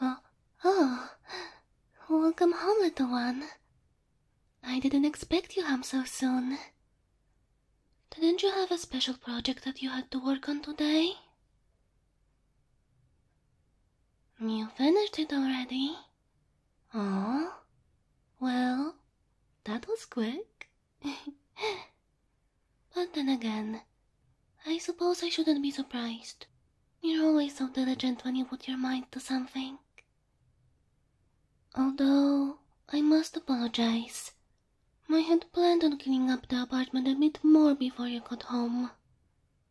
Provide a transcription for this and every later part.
oh, oh. Welcome home, little one. I didn't expect you home so soon. Didn't you have a special project that you had to work on today? You finished it already? Oh? Well, that was quick. but then again, I suppose I shouldn't be surprised. You're always so diligent when you put your mind to something. Although I must apologize, I had planned on cleaning up the apartment a bit more before you got home,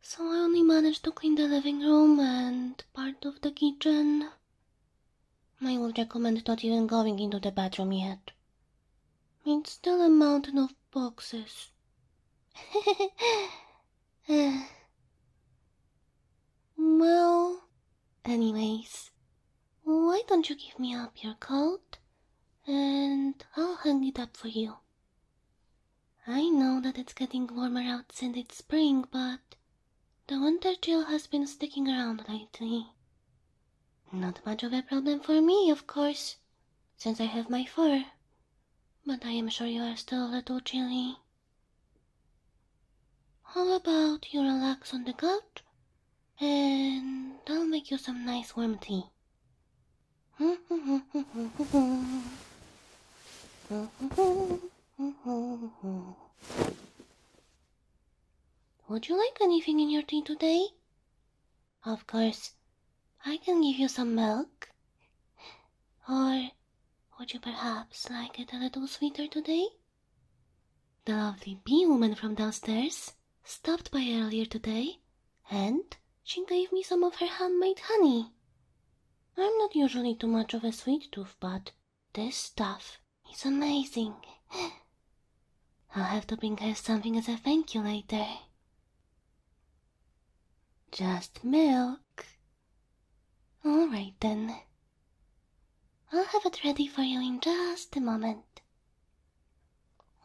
so I only managed to clean the living room and part of the kitchen. I would recommend not even going into the bathroom yet. It's still a mountain of boxes. well, anyways, why don't you give me up your coat and I'll hang it up for you? I know that it's getting warmer outside; it's spring, but the winter chill has been sticking around lately. Not much of a problem for me, of course, since I have my fur, but I am sure you are still a little chilly. How about you relax on the couch and I'll make you some nice warm tea? Would you like anything in your tea today? Of course, I can give you some milk. Or would you perhaps like it a little sweeter today? The lovely bee woman from downstairs stopped by earlier today and she gave me some of her handmade honey. I'm not usually too much of a sweet tooth, but this stuff is amazing. I'll have to bring her something as a thank you later. Just milk. All right then. I'll have it ready for you in just a moment.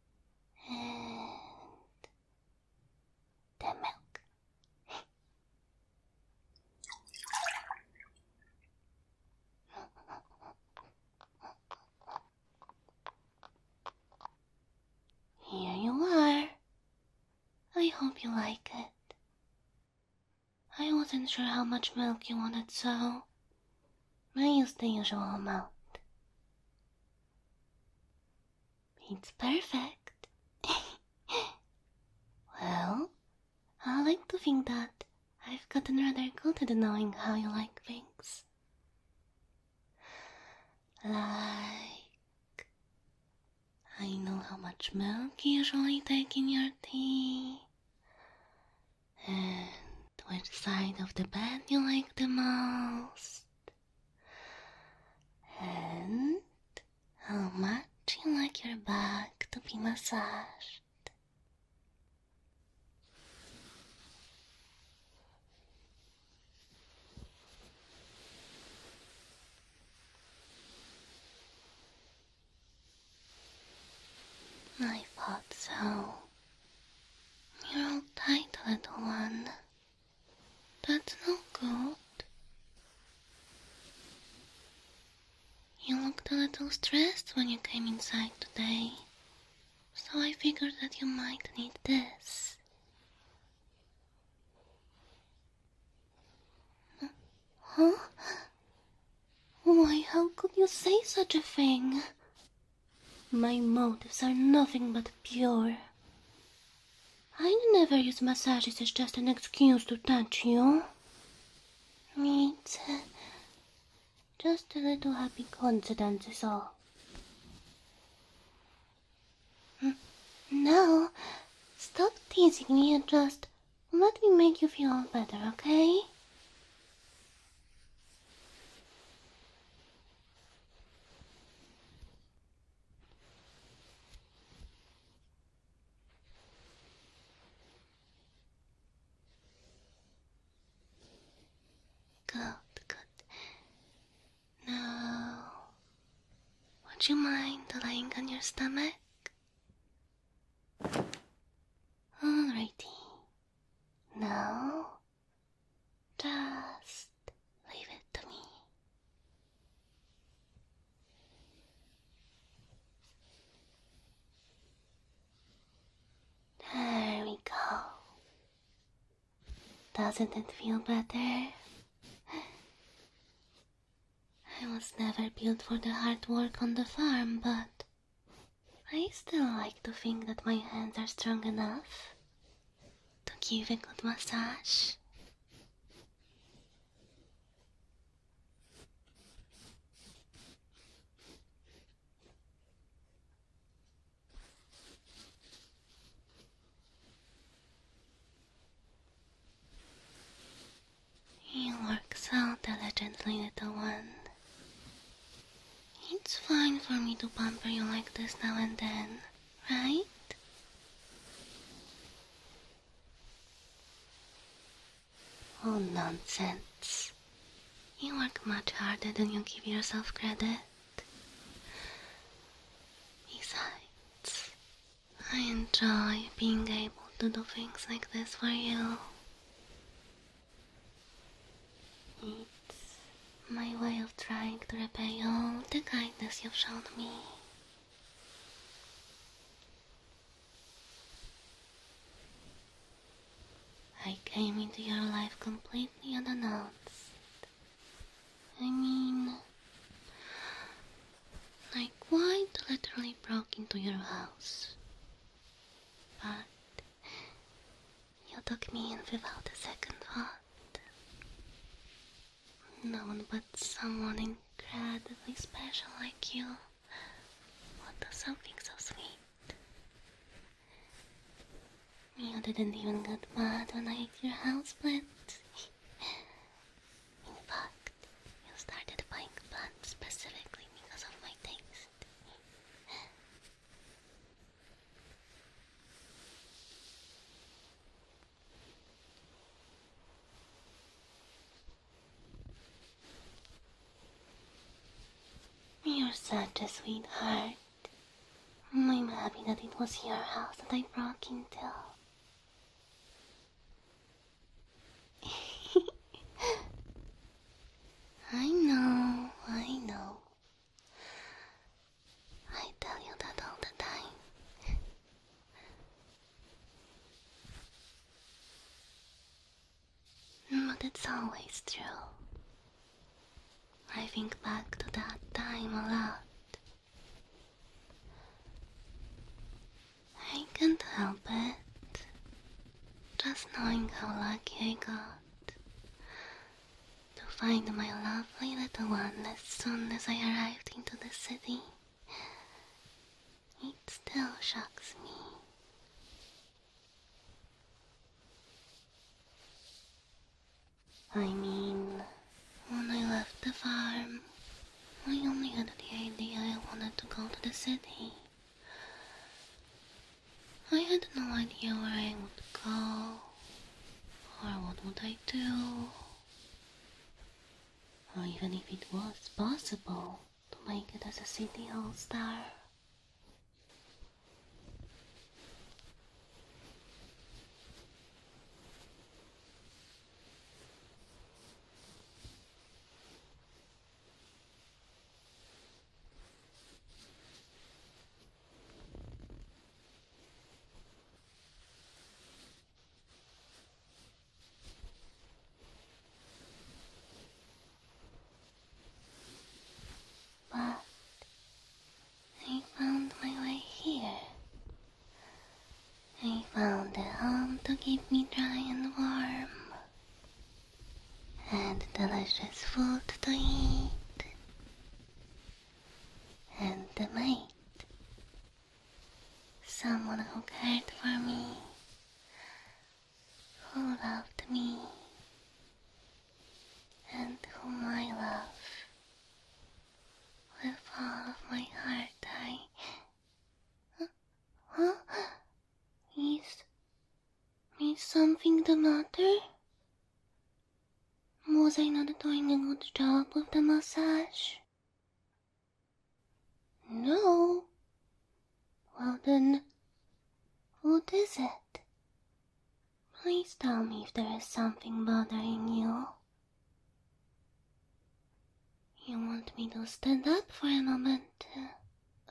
and the milk. Here you are. I hope you like it. I wasn't sure how much milk you wanted, so I used the usual amount. It's perfect. well, I like to think that I've gotten rather good at knowing how you like things. Like, I know how much milk you usually take in your tea, and which side of the bed you like the most. And how much you like your back to be massaged. I thought so. You're all tight, little one. That's no good. You looked a little stressed when you came inside today, so I figured that you might need this. Huh? Why, how could you say such a thing? My motives are nothing but pure. I never use massages as just an excuse to touch you. It's uh, just a little happy coincidence is all. Mm, now, stop teasing me and just let me make you feel better, okay? Good, good. Now, would you mind lying on your stomach? Alrighty. Now, just leave it to me. There we go. Doesn't it feel better? I was never built for the hard work on the farm, but I still like to think that my hands are strong enough to give a good massage. You work so diligently, little one. It's fine for me to pamper you like this now and then, right? Oh, nonsense. You work much harder than you give yourself credit. Besides, I enjoy being able to do things like this for you. It's my way of trying to repay all the kindness you've shown me. I came into your life completely unannounced. I mean, I quite literally broke into your house. But you took me in without a second thought. No one but someone incredibly special like you would do something so sweet. You didn't even get mad when I ate your houseplants. in fact, you started buying plants specifically because of my things. You're such a sweetheart. I'm happy that it was your house that I broke into. I know, I know. I tell you that all the time. but it's always true. I think back to that time a lot. I can't help it. Just knowing how lucky I got to find my lovely little one as soon as I arrived into the city. It still shocks me. I mean, when I left the farm, I only had the idea I wanted to go to the city. I had no idea where I would go or what would I do or even if it was possible to make it as a city hall star but I found my way here. I found a home to keep me dry and warm and delicious food to eat, and the mate, someone who cared for me, who loved me, and whom I love with all of my heart. I. Huh? Is is something the matter? Was I not doing a good job of the massage? No. Well then, what is it? Please tell me if there is something bothering you. You want me to stand up for a moment?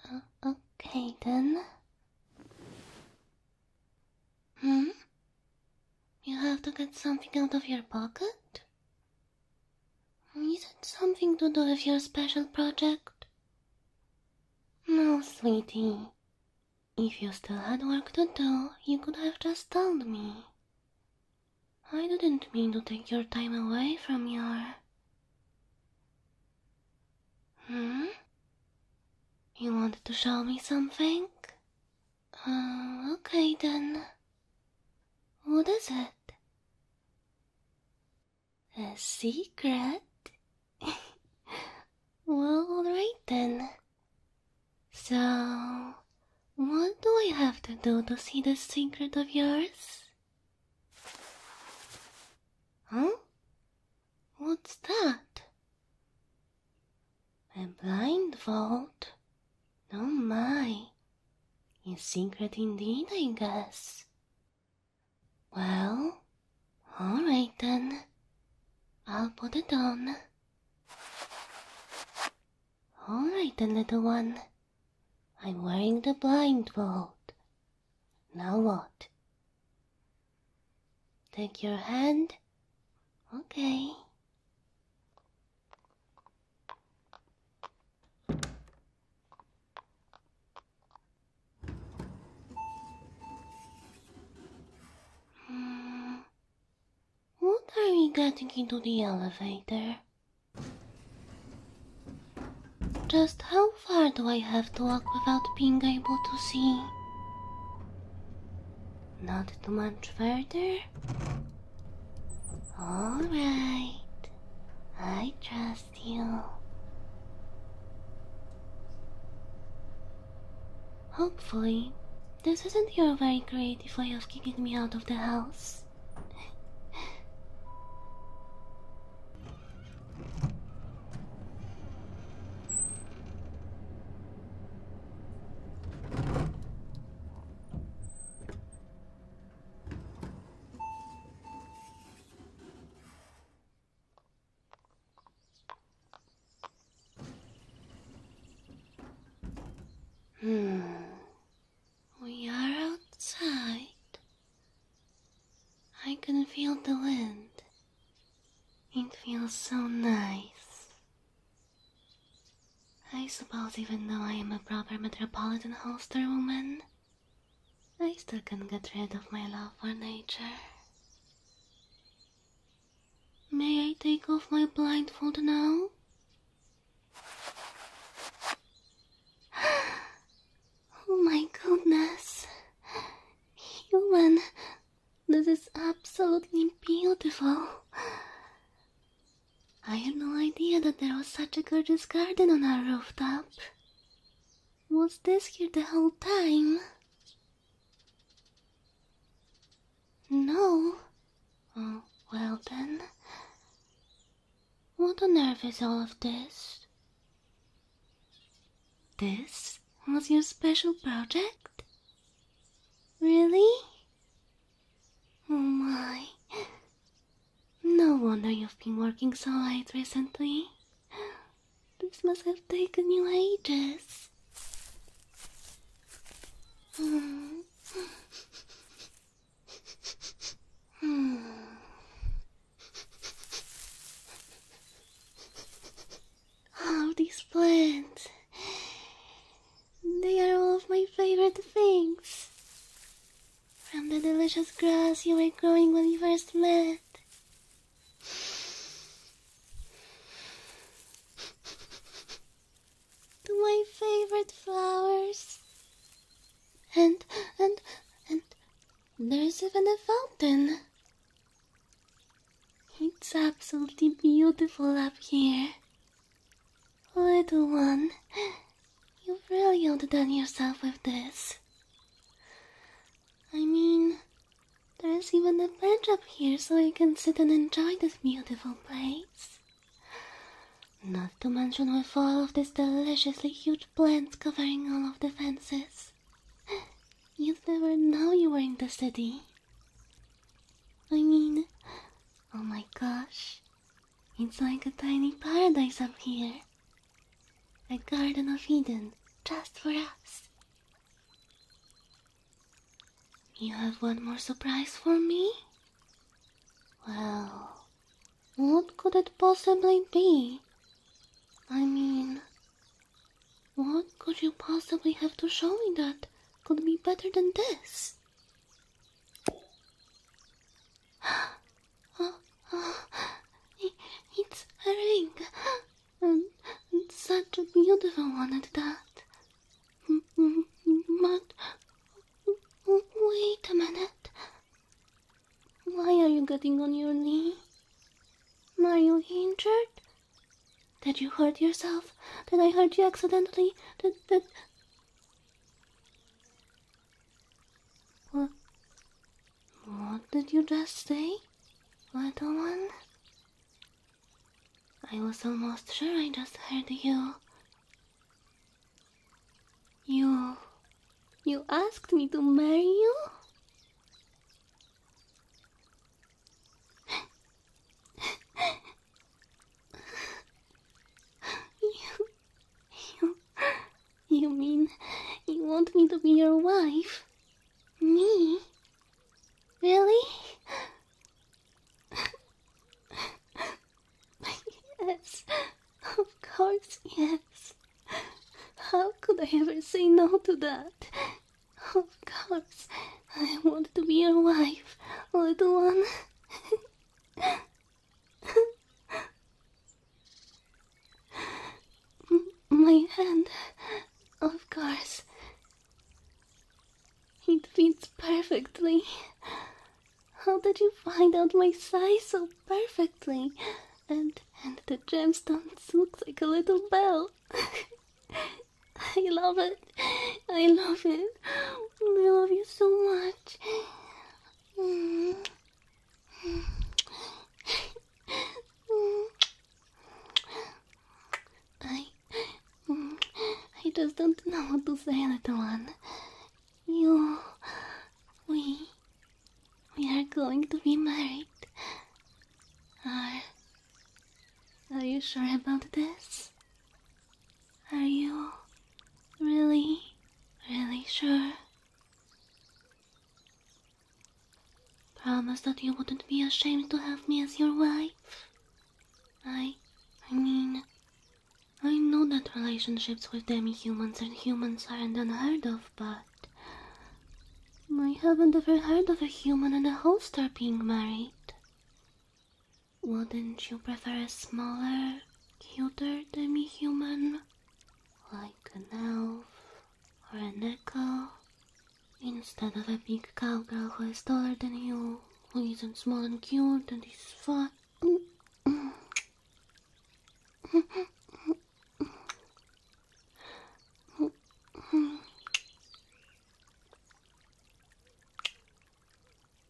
Uh, okay then. Hmm? You have to get something out of your pocket? Is it something to do with your special project? No, sweetie. If you still had work to do, you could have just told me. I didn't mean to take your time away from your. Hmm? You wanted to show me something? Uh, okay then. What is it? A secret? well, alright then. So, what do I have to do to see this secret of yours? Huh? What's that? A blindfold? No, my. A secret indeed, I guess. Well, all right then. I'll put it on. All right then, little one. I'm wearing the blindfold. Now what? Take your hand. Okay. Hmm. What are we getting into the elevator? Just how far do I have to walk without being able to see? Not too much further? Alright, I trust you. Hopefully, this isn't your very creative way of kicking me out of the house. Hmm. We are outside. I can feel the wind. It feels so nice. I suppose even though I am a proper metropolitan holster woman, I still can get rid of my love for nature. May I take off my blindfold now? Oh my goodness. Human, this is absolutely beautiful. I had no idea that there was such a gorgeous garden on our rooftop. Was this here the whole time? No. Oh, well then. What on earth is all of this? This was your special project? Really? Oh my. No wonder you've been working so late recently. This must have taken you ages. Hmm. Hmm. All these plants. They are all of my favorite things. From the delicious grass you were growing when we first met. To my favorite flowers. And, and, and there's even a fountain. It's absolutely beautiful up here. Little one, you've really outdone yourself with this. I mean, there's even a bench up here so you can sit and enjoy this beautiful place. Not to mention with all of these deliciously huge plants covering all of the fences. You'd never know you were in the city. I mean, oh my gosh, it's like a tiny paradise up here. A garden of Eden, just for us. You have one more surprise for me? Well, what could it possibly be? I mean, what could you possibly have to show me that could be better than this? Oh, oh, it's a ring, and such a beautiful one at that. But wait a minute. Why are you getting on your knee? Are you injured? Did you hurt yourself? Did I hurt you accidentally? Did, did... What? What did you just say, little one? I was almost sure I just heard you. You you asked me to marry you? you, you, you mean you want me to be your wife? Me? Really? yes. Of course, yes. How could I ever say no to that? Of course, I want to be your wife, little one. My hand, of course. It fits perfectly. How did you find out my size so perfectly? and and the gemstones looks like a little bell. I love it. I love it. I love you so much. I I just don't know what to say, little one. You, we. We are going to be married. Are, are you sure about this? Are you really, really sure? Promise that you wouldn't be ashamed to have me as your wife. I, I mean, I know that relationships with demi-humans and humans aren't unheard of, but I haven't ever heard of a human and a holster being married. Wouldn't you prefer a smaller, cuter demi human? Like an elf or an echo? Instead of a big cowgirl who is taller than you, who isn't small and cute and is fat.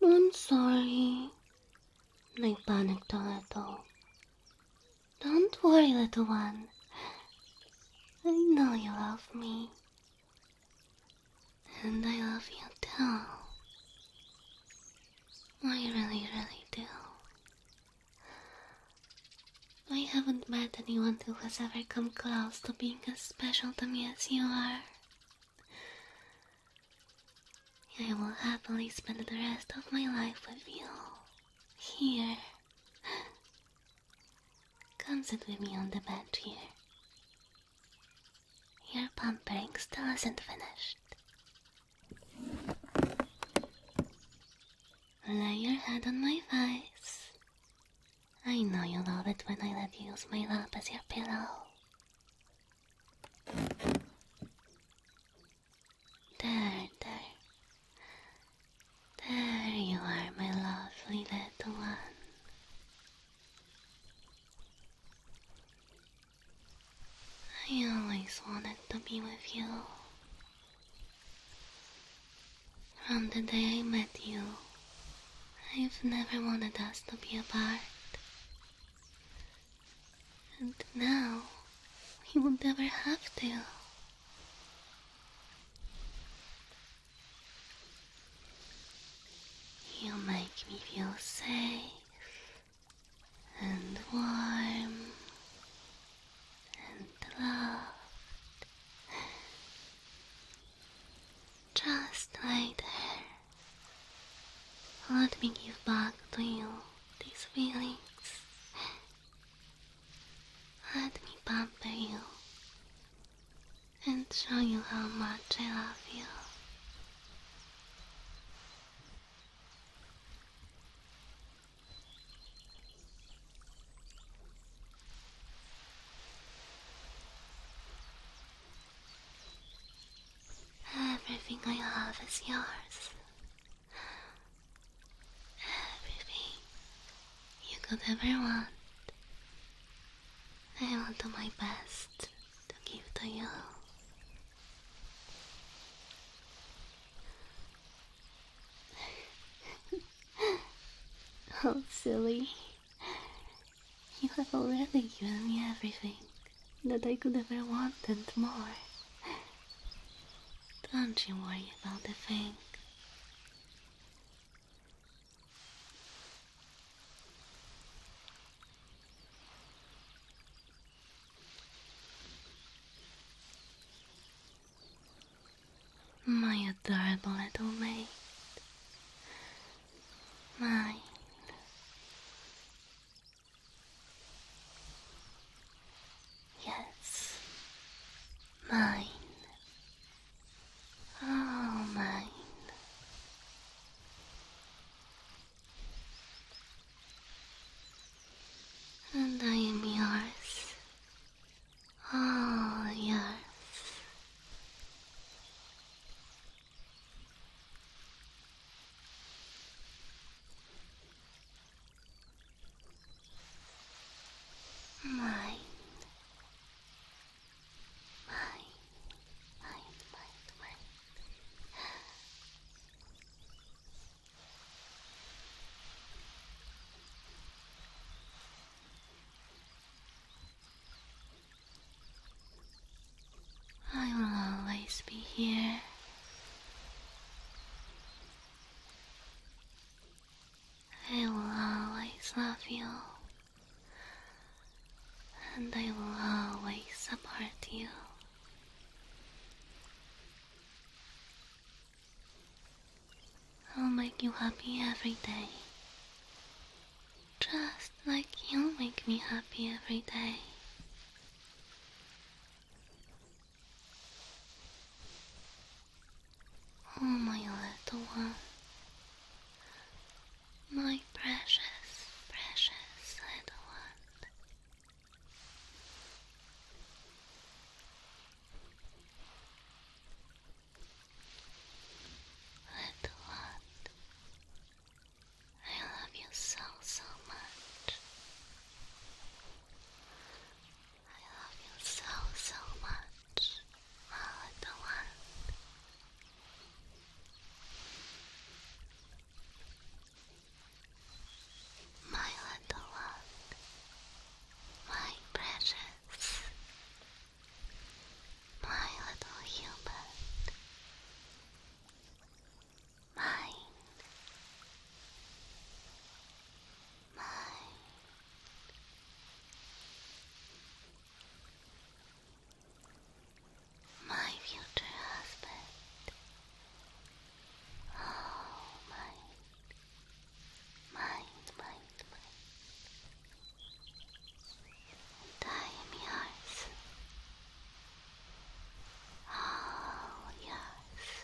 I'm sorry. I panicked a little. Don't worry, little one. I know you love me. And I love you too. I really, really do. I haven't met anyone who has ever come close to being as special to me as you are. I will happily spend the rest of my life with you. Here. Come sit with me on the bed here. Your pampering still isn't finished. Lay your head on my face. I know you love it when I let you use my lap as your pillow. There, there. There you are, my lovely little one. I always wanted to be with you. From the day I met you, I've never wanted us to be apart. And now, we will not ever have to. You make me feel safe and warm and loved, just like there. Let me give back to you these feelings. Let me pamper you and show you how much I love you. Everything I have is yours. Everything you could ever want. I will do my best to give to you. oh, silly. You have already given me everything that I could ever want and more. Don't you worry about the thing. My adorable little mate, Mine. Yes. Mine. Oh, mine. And I am yours. All yours. Mine. Mine. Mine, mine, mine. I will always be here. I will always love you. And I will always support you. I'll make you happy every day. Just like you make me happy every day. Oh, my little one. My precious, precious little one. Little I love you so, so much. I love you so, so much, my my little one, my precious, my little human, mine, mine my future husband. Oh, mine, mine, mine, mine. And Oh, yours.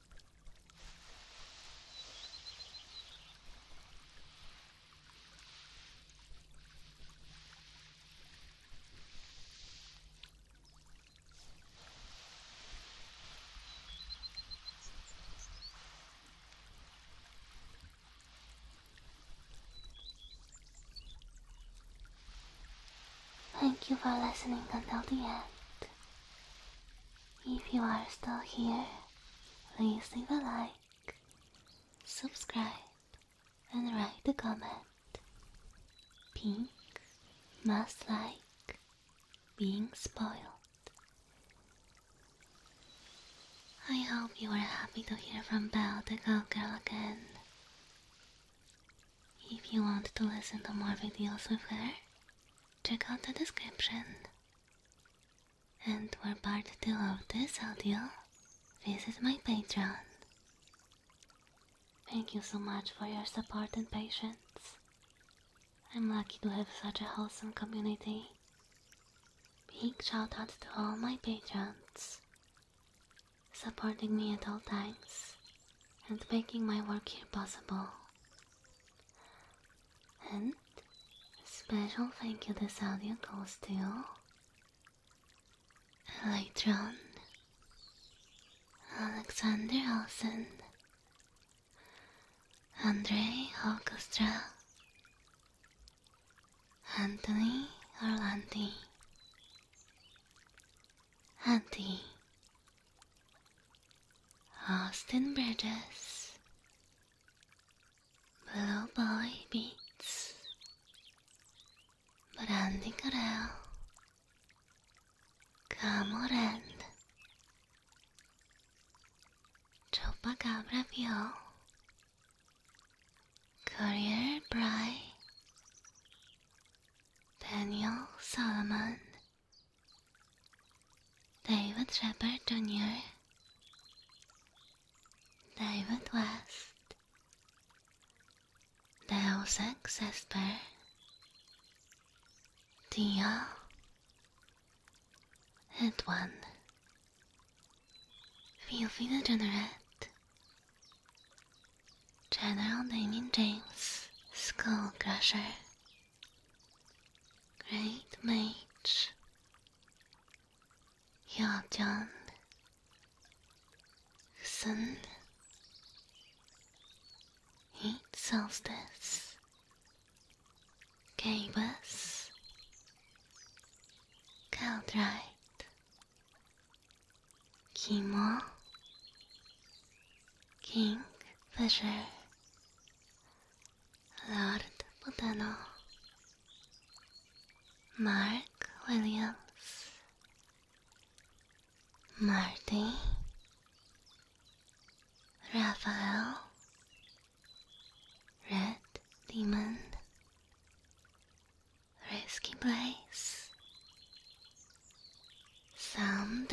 Thank you for listening until the end. If you are still here, please leave a like, subscribe, and write a comment. Pink must like being spoiled. I hope you are happy to hear from Belle the Go Girl again. If you want to listen to more videos with her, check out the description. And for part 2 of this audio, visit my Patreon. Thank you so much for your support and patience. I'm lucky to have such a wholesome community. Big shout out to all my patrons, supporting me at all times, and making my work here possible. And special thank you to audio goes to Electron, Alexander Olsen, Andre Orchestra, Anthony Orlandi, Andy Austin ah, Bridges, Blue Boy Beats, Brandy Corral, Camorand, Chopacabra Vio, Courier Bry, Daniel Solomon. David Shepard Jr. David West Deus Ex Esper Dio Edwin Fifi the General Damien James Skull Crusher Great mage, Hyeojeon, Sun, Heat Solstice, gave us Kimmo, King Fisher. Lord Botano Mark Williams Marty Raphael Red Demon Risky Place, Sam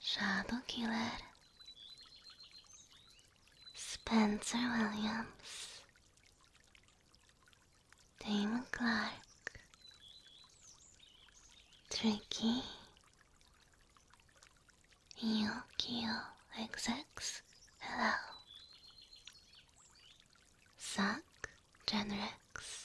Shadow Killer Spencer Williams Damon Clark Tricky Yokio XX Hello Zack Genrex